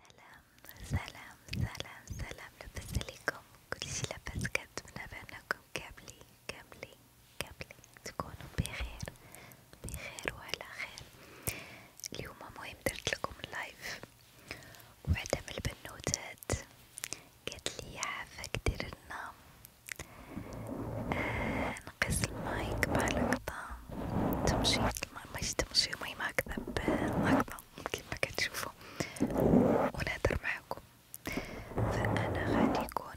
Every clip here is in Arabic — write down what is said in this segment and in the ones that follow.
سلام سلام سلام سلام لاباس عليكم كلشي لاباس كنتمنى بانكم كاملين كاملين كاملين تكونوا بخير بخير وعلى خير اليوم مهم درت لكم اللايف وحده من البنوتات قالت عافاك دير لنا آه، نقص المايك بهاللقطه تمشي المايك ما يشتمش يومي ما أكذب لحظة كيما كتشوفوا ونهدر معاكم فأنا غادي يكون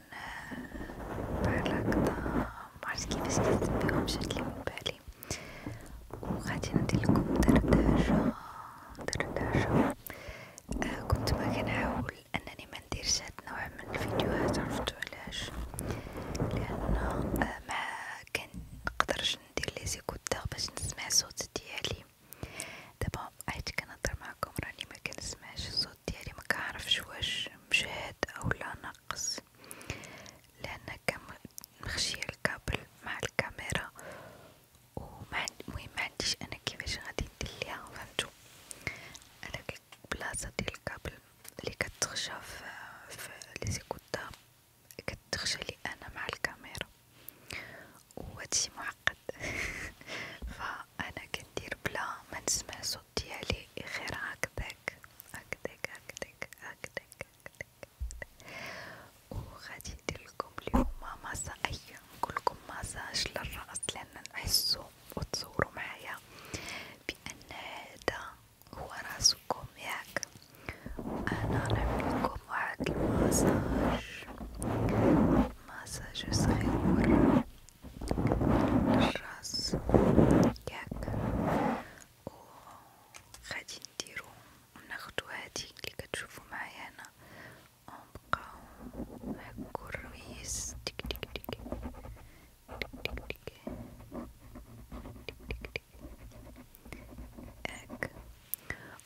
بحال آه، هكدا معرفت كيفاش كنسميهم جاتلي من بالي وغادي ندير لكم دردشة دردشة آه كنت ما كنحاول أنني ما نديرش هاد النوع من الفيديوهات عرفتو علاش لأن آه ما كنقدرش باش ندير لي زيكوتور باش نسمع صوت ديالي دابا عيت كنهضر معكم راني ما كنسمعش الصوت ديالي ما كنعرفش واش مجهد اولا ناقص لان مخشيه الكابل مع الكاميرا ومع المهم ما عنديش انا كيفاش غادي ندير ليها فهمتوا هذاك البلاصه ديال الكابل اللي كتخشى في لي زيكوتور كنت تخجلي انا مع الكاميرا وهادشي معقد فانا كندير بلا ما نسمع صوت ديالي غير هكداك هكداك هكداك هكداك وغادي ندير لكم اليوم مساج نقولكم مساج للراس لان نحسو وتصوروا معايا بان هذا هو راسكم ياك انا نعمل لكم واحد المساج مساج صغير للراس ياك و غادي نديرو ناخدو هاديك اللي كتشوفو معايا هنا ونبقاو هاكو الرويس تك تك تك تك تك تك تك هيك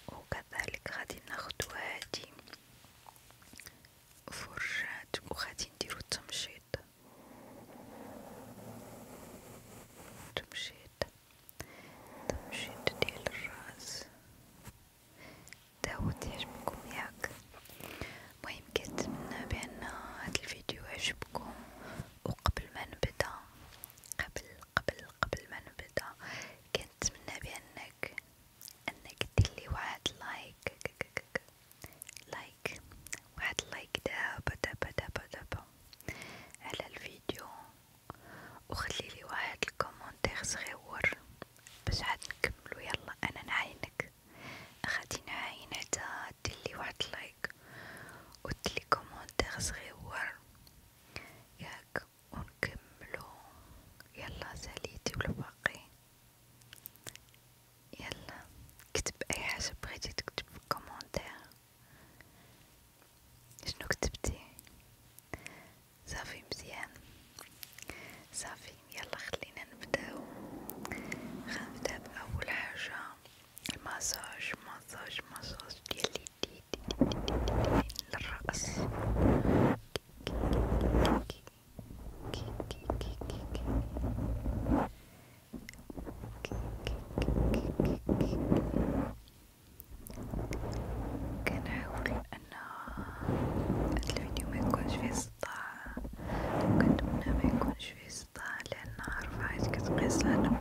وكذلك غادي ناخدو هادي فرشات وغادي نديرو التمشيط تمشيط تمشيط ديال الراس داو تعجبكم ياك المهم كنتمنى بان هاد الفيديو عجبكم وقبل ما نبدا قبل قبل قبل ما نبدأ كنتمنى بأنك أنك تديرلي واحد لايك لايك واحد لايك دابا دابا دابا دابا على الفيديو وخليلي واحد الكومنتير صغيور باش عاد نكملو يلا أنا نعاينك غادي نعاين حتى وعدتلي واحد لايك وقلتلي كومونتير صغيور ياك ونكملو يلا ساليتي ولا باقي يلا كتب اي حاجه بغيتي تكتب في الكومونتير شنو كتبتي صافي مزيان صافي يلا خلينا نبداو غنبدا باول حاجه المساج مساج مساج ديال اليدين للرأس كنحاول أن الفيديو ما يكونش فيه صداع وكنتمنى ما يكونش فيه صداع لأن عارفة عايز كتقيس على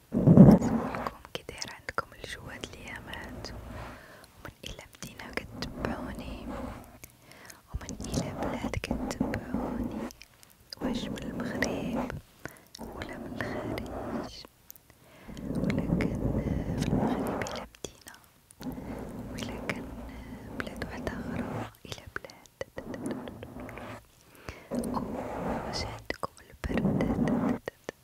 لكم كي داير عندكم الجو هاد اليامات ومن الى مدينة كتبعوني ومن الى بلاد كتبعوني واش من المغرب ولا من الخارج ولكن في المغرب الى مدينة ولكن بلاد وحدة اخرى الى بلاد واش عندكم البرد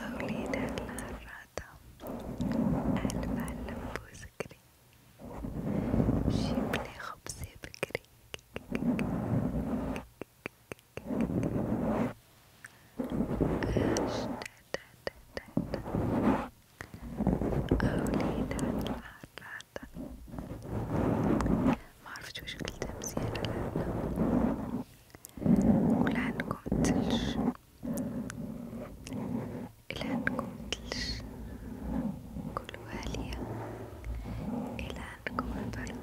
أوليد الهرادة ألف علم بوسكري جيبلي خبزي بكري أوليد الهرادة معرفت وش قلتها مزيانة لهنا ولا عندكم تلج إلى أن كنت كل والية إلى أن كنت بردة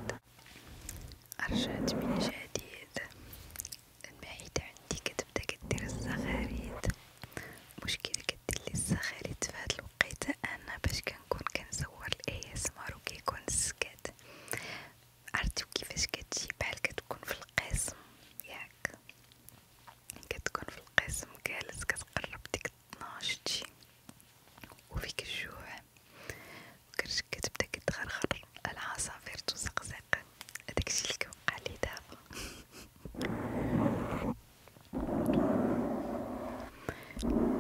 رجعت من جديد المعدة عندي كتبدا كدير الزغاريد مشكلة كدير لي الزغاريد في هاد الوقيته أنا باش كنكون كنصور الأيسمار و كيكون السكات عرفتي كيفاش كتجي بحال كتكون في القسم ياك كتكون في القسم جالس كتقرب ديك 12 تجي وفيك الجوع وكرش كتبدا كتغرغر العصافير تزقزق هداكشي اللي كيوقع لي دابا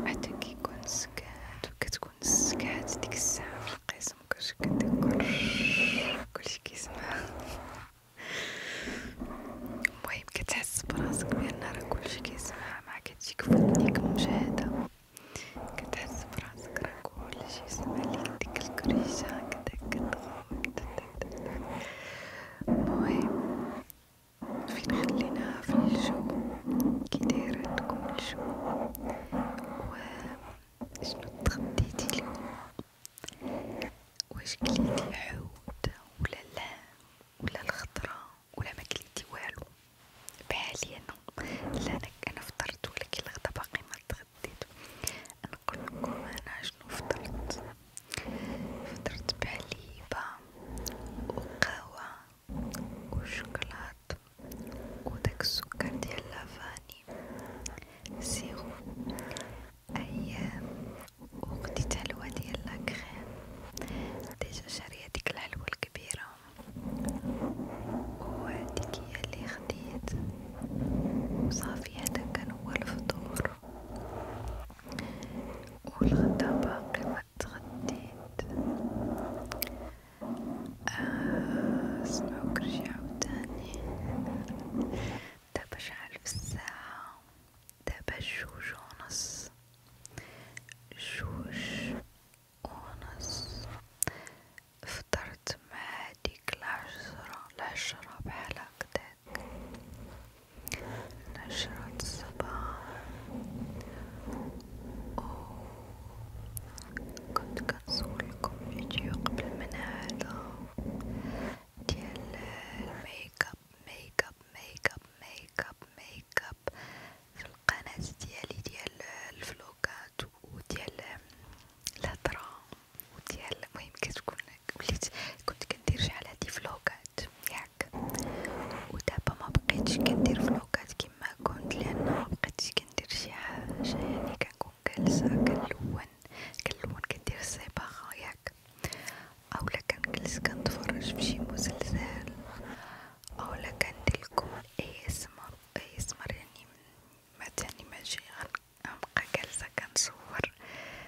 حتى كيكون السكات وكتكون السكات ديك الساعه في القسم ممكنش كتكون كلشي كيسمع المهم كتحس براسك بان راه كلشي كيسمع مع كتجيك فديك المشاهدة كتحس براسك راه كلشي سمع ليك ديك الكريشة كداك الغمض المهم فين خليناها في الجو كي داير عندكم الجو و شنو تغديتي اليوم واش كليتي الحوت ولا لا ولا الخضره ولا ما كليتي والو بحالي انا لا انا فطرت ولكن الغدا باقي ما تغديت نقول لكم انا شنو فطرت فطرت بعليبه وقهوه وشوكولاط وداك السكر ديال لافاني سيرو ايام وخديت حلوة ديال لاكريم ديجا شارية ديك الحلوة الكبيرة وهاديك هي اللي خديت وصافي هدا كان هو الفطور والغدا باقي ما تغديت اسمعوا كرشي عاوتاني دابا شحال في الساعة دابا جوج ونص جوج ونص فطرت مع هاديك العشرة العشرة بحال هكداك نشرة الصباح أو كنت كنصور لكم قبل من هذا ديال الميك اب ميك اب ميك اب ميك اب ميك اب في القناه ديالي ديال الفلوكات وديال الهضره وديال المهم كتكون وليت كنت كندير شحال هادي فلوكات ياك ودابا ما بقيتش كندير فلوكات كما كنت لان ما كندير شي حاجه يعني كنكون كلسة كلون كلون كدير صباغة ياك أولا كنجلس كنتفرج في شي مسلسل أولا كنديرلكم اي اسمر اي اسمر يعني ما تاني ماشي غنبقى جالسة كنصور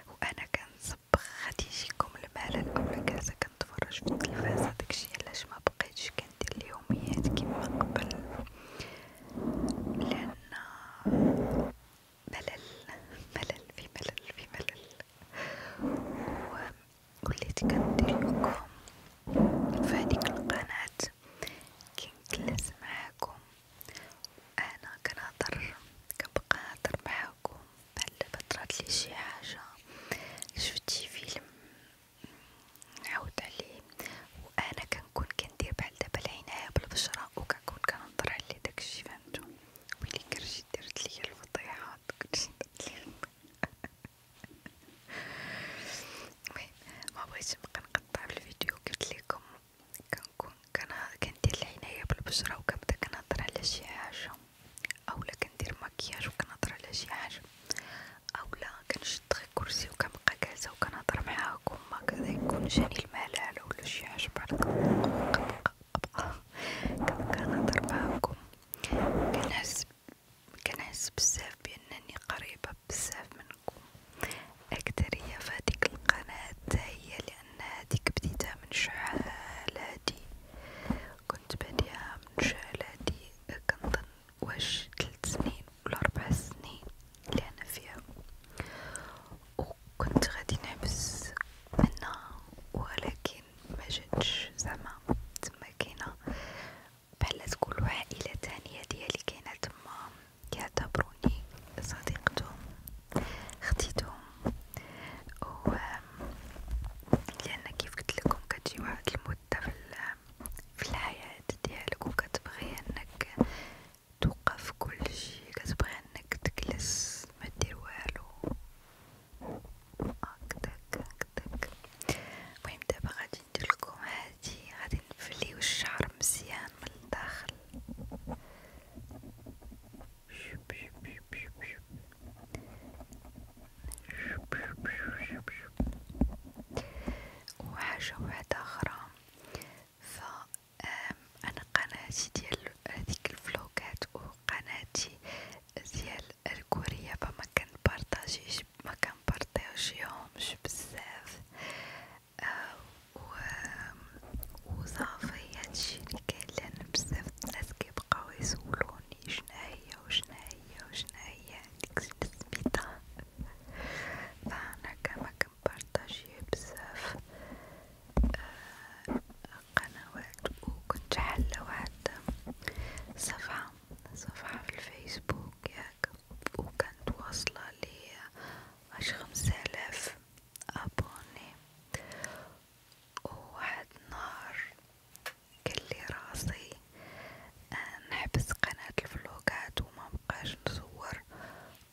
وأنا كنصبغ غادي يجيكم الملل أولا جالسة كنتفرج في التلفازة داكشي علاش مبقيتش حياتي اليوميات كيما قبل لأن ملل ملل في ملل في ملل وليت كنديرلكم في هاديك القناة كنجلس معاكم أنا كنهضر كنبقى نهضر معاكم بحال دابا طراتلي شي حاجة شفتي فيلم عودة لي وأنا كنكون كندير بحال دابا العناية بالبشرة وكنكون كنهضر على داكشي فهمتو ويلي كرشي درت ليا الفضيحة كلشي درت ليا المهم مبغيتش نبقى نقطع الفيديو قلت لكم كنكون كندير العناية بالبشرة وكنبدا كنهضر على شي حاجة اولا كندير مكياج وكنهضر على شي حاجة اولا كنشد كنشد غي كرسي و كنبقى جالسة و كنهضر معاكم هكذا يكون جاني الملل ولا شي حاجة بحال هكا كنبقى كنبقى نهضر معاكم كنحس كنحس بزاف بأنني قريبة بزاف منكم أكترية فهاديك القناة هي لأن هاديك بديتها من شحال هادي كنت باديها من شحال هادي كنظن واش تلت سنين الأربع سنين اللي أنا فيها وكنت غادي نحبس منها ولكن ما جاتش زعما تما كاينه بحال تقولوا عائله تانية ديالي كاينه تما كيعتبروني صديقتهم خديتهم و لان كيف قلت لكم كتجي واحد المده في في الحياة ديالك وكتبغي انك توقف كل شيء كتبغي انك تجلس ما دير والو هكداك هكداك المهم دابا غادي ندير لكم هادي غادي نفليو الشعر مزيان من الداخل شوب شوب شوب شوب شوب شوب شوب شوب شوب وحاجة وحدة أخرى فأنا قناتي ديال هذيك الفلوكات وقناتي ديال الكورية فما كنبارطاجيش مكنبارطاجيهمش بزاف آه، و وصافي هادشي لي كاين لأن بزاف الناس كيبقاو يسولوني شناهي وشناهي وشناهي نكسر سميتها فأنا كما كنبارطاجي بزاف قنوات وكنت حلا واحد صفحة صفحة في الفيسبوك ياك وكانت واصلة لي واش خمسالاف ابوني وواحد النهار قالي راسي نحبس قناة الفلوقات وما بقاش نصور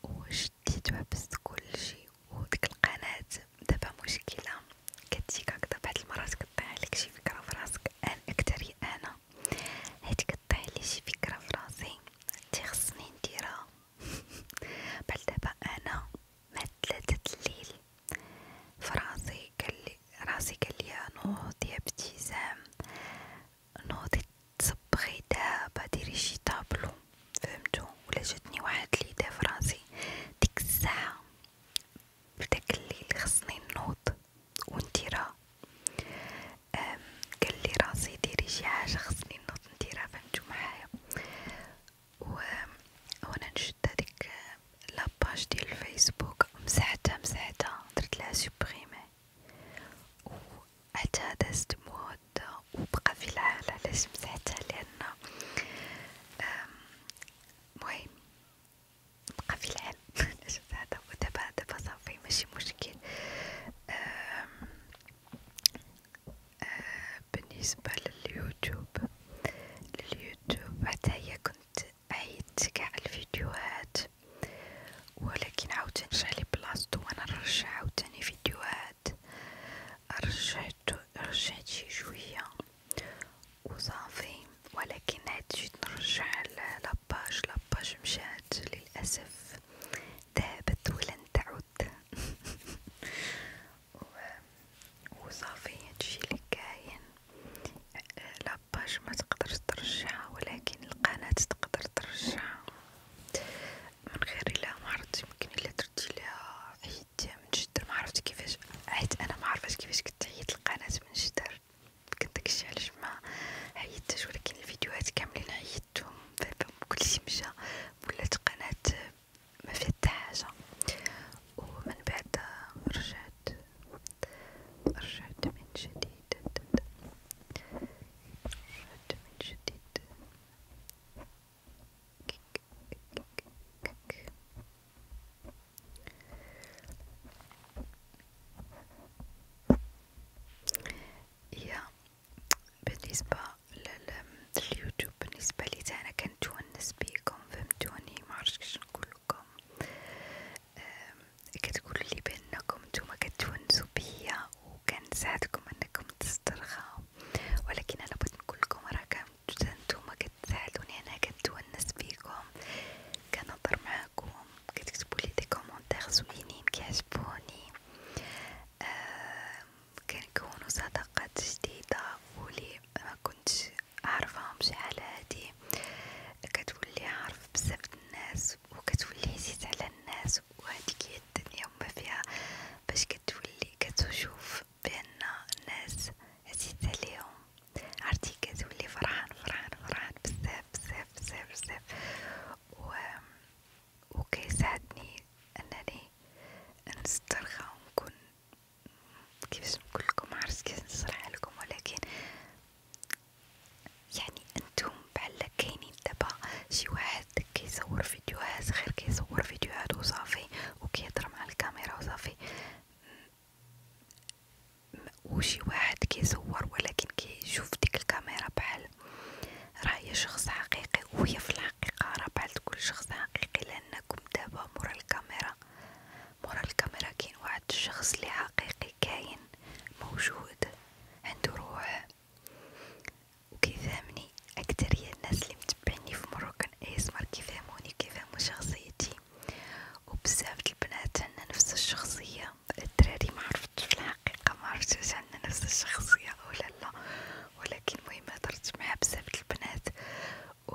وشديت وحبست كل شيء وديك القناة دابا مشكلة كتجيك هكدا بعد المرات كطيح عليك شي فكرة في راسك انا اكتري انا حيت كطيح لي شي فكرة في راسي تيخصني نديرها بل دابا انا مع تلاتة الليل فراسي قالي راسي قاليا نوض يا ابتسام نوضي تصبغي دابا ديري شي طابلو فهمتو ولا جاتني واحد ليدا فرنسي ديك الساعه بداك الليل خصني نوض ونتي راه قالي راسي ديري شي حاجه خصني نوض نتي فهمتو معايا و وانا نشد هاديك لاباج ديال الفيسبوك مسحتها مسحتها درت لها معاه وحتى دازت مواد وبقى في العالة علاش مسحتها لأن مهم بقى في العالم علاش مسحتها ودابا دابا صافي ماشي مشكل آه، بالنسبة لليوتيوب لليوتيوب حتى هي كنت عيدت كاع الفيديوهات ولكن عاوتاني رجعلي بلاصتو وانا نرجع عاوتاني فيديوهات رجعتو رجعت شي شوية وصافي ولكن عاد جيت نرجع لاباج لاباج مشات للأسف ذهبت ولن تعود وصافي هادشي اللي كاين لاباج ما تقدر ترجعها ولكن القناة تقدر ترجعها من غير لا معرفت يمكن الا درتي لها عيد من جدر معرفت كيفاش عيت انا معرفتش كيفاش كنت عيت القناة من جدر كنت داكشي علاش ما عيتش ولكن الفيديوهات كاملين عيتهم فهمت كلشي مشى ولات قناة ما فيها حتى حاجه ومن بعد رجعت رجعت من جديد رجعت من جديد كيك كيك كيك يا بالنسبة لليوتيوب بالنسبة لي أنا كنتونس بيكم فهمتوني معرفتش نقولكم كتقولوا لي بانكم نتوما كتونسوا بيا وكان ساعدكم انكم تسترخوا ولكن انا بغيت نقول لكم راه كنتو نتوما كتساعدوني انا كتونس بيكم كنهضر معاكم كتكتبوا لي دي كومونتير زوينين كيعجبوني آه كنكونوا صداقات جديده ولي ما كنتش عارفهمش على هادي كتولي عارف بزاف الناس وكتولي عزيز على الناس وهاديك هي الدنيا وما فيها باش كتولي كتشوف بان الناس عزيز عليهم عرفتي كتولي فرحان فرحان فرحان بزاف بزاف بزاف بزاف و وكيساعدني انني نسترخى ونكون كيفاش نقولكم معرفتش كيفاش نشرحها لكم ولكن يعني انتم بعلك كاينين دابا شي واحد كيصور فيديوهات غير كيصور فيديوهات وصافي وكيهضر مع الكاميرا وصافي وشي واحد كيصور ولكن كيشوف ديك الكاميرا بحال راه هي شخص حقيقي وهي في الحقيقه راه بحال تقول شخص حقيقي لانكم دابا مورا الكاميرا مرة الكاميرا كين وعد الشخص اللي حقيقي كاين موجود عنده روح وكيفهمني أكترية الناس اللي متبعني في مروكان اسمر كيفهموني كيفهمو شخصيتي وبزاف البنات عندنا نفس الشخصية الدراري معرفتش في الحقيقة معرفتش عندنا نفس الشخصية أو لا لا ولكن مهم هدرت مع بزاف البنات و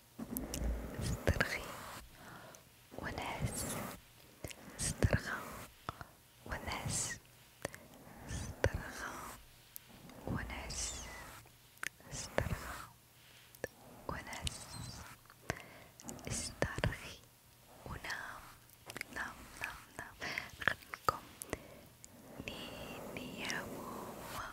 استرخي ونعس استرخى ونعس استرخى ونعس استرخى ونعس استرخي ونام نام نام نام نخدمكم نيني يا ماما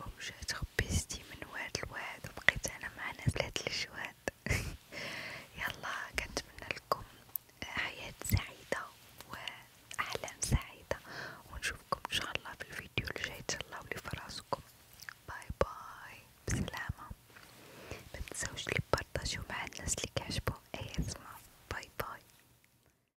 ومشات تخبيستي من واد لواد وبقيت انا مع ناس لهاد الجواد يلا كنتمنى لكم حياة سعيدة واحلام سعيدة ونشوفكم ان شاء الله في الفيديو الجاي تهلاو لي فراسكم باي باي بسلامة متنساوش لي بارطاجيو مع الناس لي كيعجبهم اي اسمع باي باي